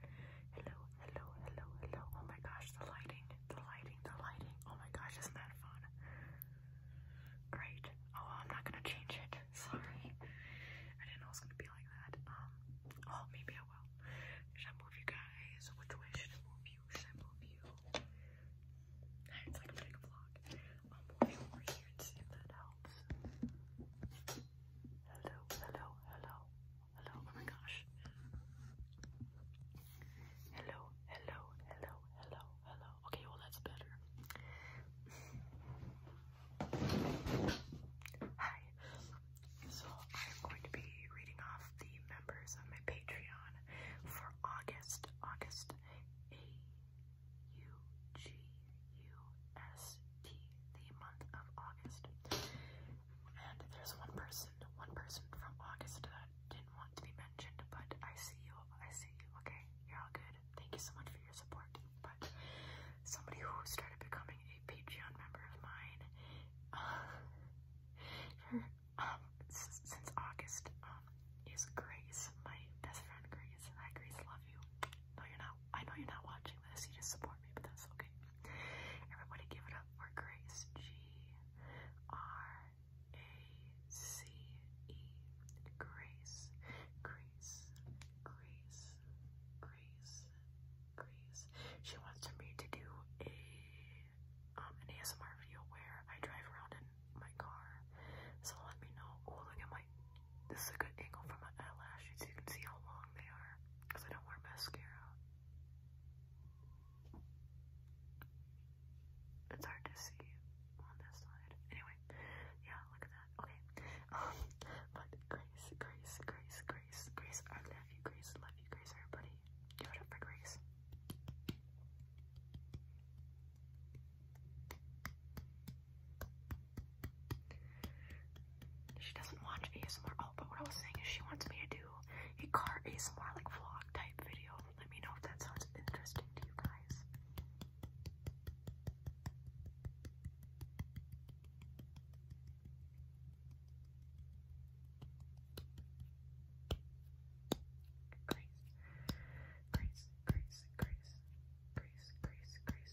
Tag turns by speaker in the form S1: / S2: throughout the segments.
S1: Hello, hello, hello, hello. Oh my gosh, the lighting, the lighting, the lighting. Oh my gosh, isn't that fun? Great. Oh, I'm not gonna change it. Sorry. I didn't know it gonna be like that. Um, oh, maybe I will. Should I move you guys? Which way should move you? Should I move you? It's like a vlog. I'll move over here and see if that helps. Hello, hello, hello hello, oh my gosh. Hello, hello, hello, hello, hello. Okay, well, that's better. Hi. So, I'm going to be reading off the members of my Patreon for August. August. A U G UST, the month of August. And there's one person, one person from August that didn't want to be mentioned, but I see you, I see you, okay? You're all good. Thank you so much for your support. But somebody who started becoming a Patreon member of mine, uh, um, since August, um, is Grace, my best friend Grace. Hi Grace, love you. No, you're not. I know you're not watching this. You just support for me, but that's okay. Everybody give it up for Grace. G-R-A-C-E. Grace. Grace. Grace. Grace. Grace. She wants me to do a um an ASMR video where I drive around in my car. So let me know. Oh look at my this is a good angle for my eyelashes. You can see how long they are because I don't wear mascara. It's hard to see on this side. Anyway, yeah, look at that. Okay. Um, but Grace, Grace, Grace, Grace, Grace, I love you, Grace, love you, Grace, everybody. Give it up for Grace. She doesn't watch ASMR. Oh, but what I was saying is she wants me to do a car ASMR like vlog type video. Let me know if that sounds interesting to you guys. Grace, Grace, Grace, Grace, Grace, Grace, Grace,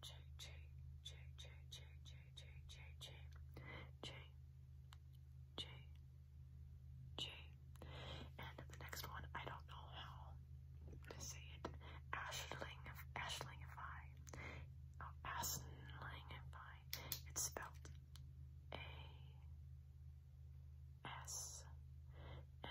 S1: J J J J J J J J J J J J and the next one I don't know how to say it Ashling Ashlingify oh Aslingify it's spelled A S N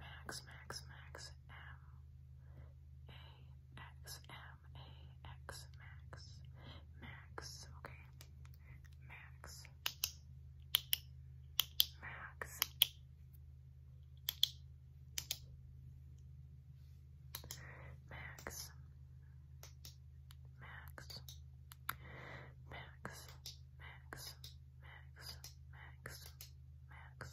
S1: Max, Max, Max, M, A, X, M, A, X, Max, Max, okay, Max, Max. Max, Max, Max, Max, Max, Max, Max,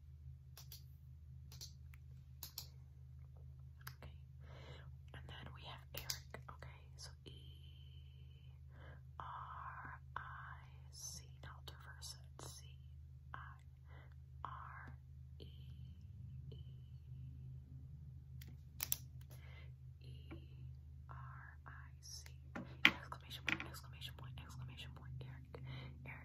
S1: Okay. And then we have Eric. Okay, so E R I C. Now I'll exclamation point exclamation point exclamation point Eric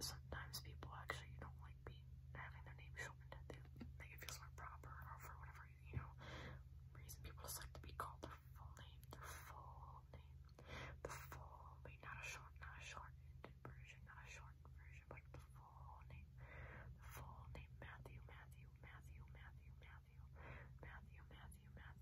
S1: sometimes people actually don't like being having their name shortened. They like it feels more proper or for whatever you know reason people just like to be called their full name, their full name, the full name, not a short, not a shortened version, not a short version, but the full name, the full name Matthew, Matthew, Matthew, Matthew, Matthew, Matthew, Matthew, Matthew.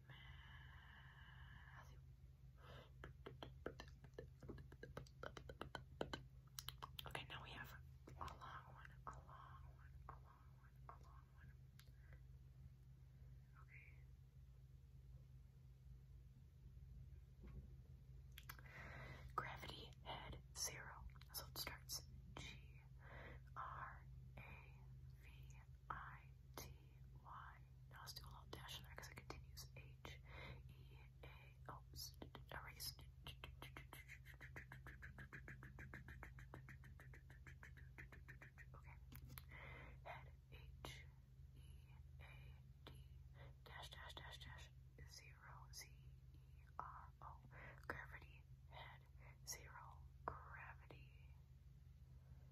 S1: Okay, now we have a long one, a long one, a long one, a long one. Okay. Gravity head zero. So it starts G R A V I T Y. Now I us do a little dash in there because it continues. H E A. Oh, erase. Okay. Head H E A D dash dash dash dash zero Z E R O gravity head zero gravity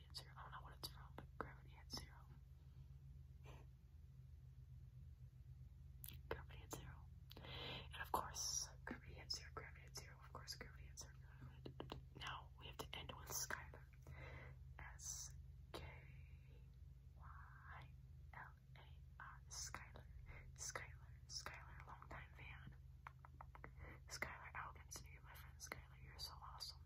S1: gravity I don't know what it's from, but gravity at zero. Gravity at zero. And of course, gravity at zero, gravity at zero, of course, gravity at zero. Now we have to end with Skylar. S K Y L A R. Skylar. Skylar. Skylar. Long time fan. Skylar I Alkins, new my friend Skylar. You're so awesome.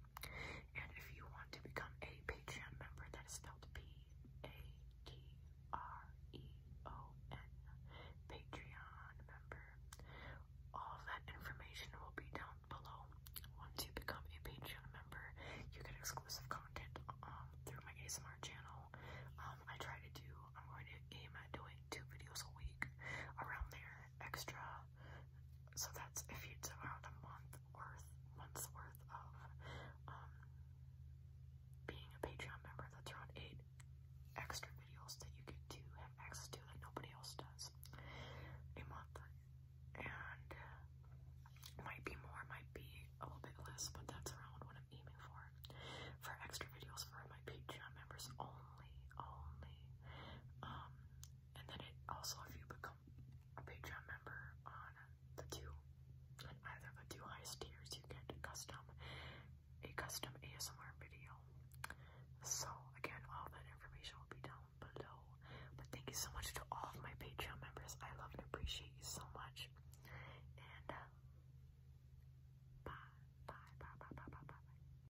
S1: And if you want to become a Patreon member, that is spelled P-A-T-R-E-O-N, Patreon member. All that information will be down below. Once you become a Patreon member, you get exclusive content um, through my ASMR channel. Um, I try to do, I'm going to aim at doing two videos a week around there, extra so that's if you took out a month worth, month's worth of um, being a Patreon member, that's around eight extra videos that you get to have access to that nobody else does a month. And uh, might be more, might be a little bit less, but that's around what I'm aiming for. For extra videos for my Patreon members only, only. Um, and then it also, if you become a Patreon member on the two, on either the two highest tiers, you get custom a custom ASMR video. So again, all that information will be down below. But thank you so much to all of my Patreon members. I love and appreciate you so much. And uh, bye, bye, bye, bye, bye, bye, bye.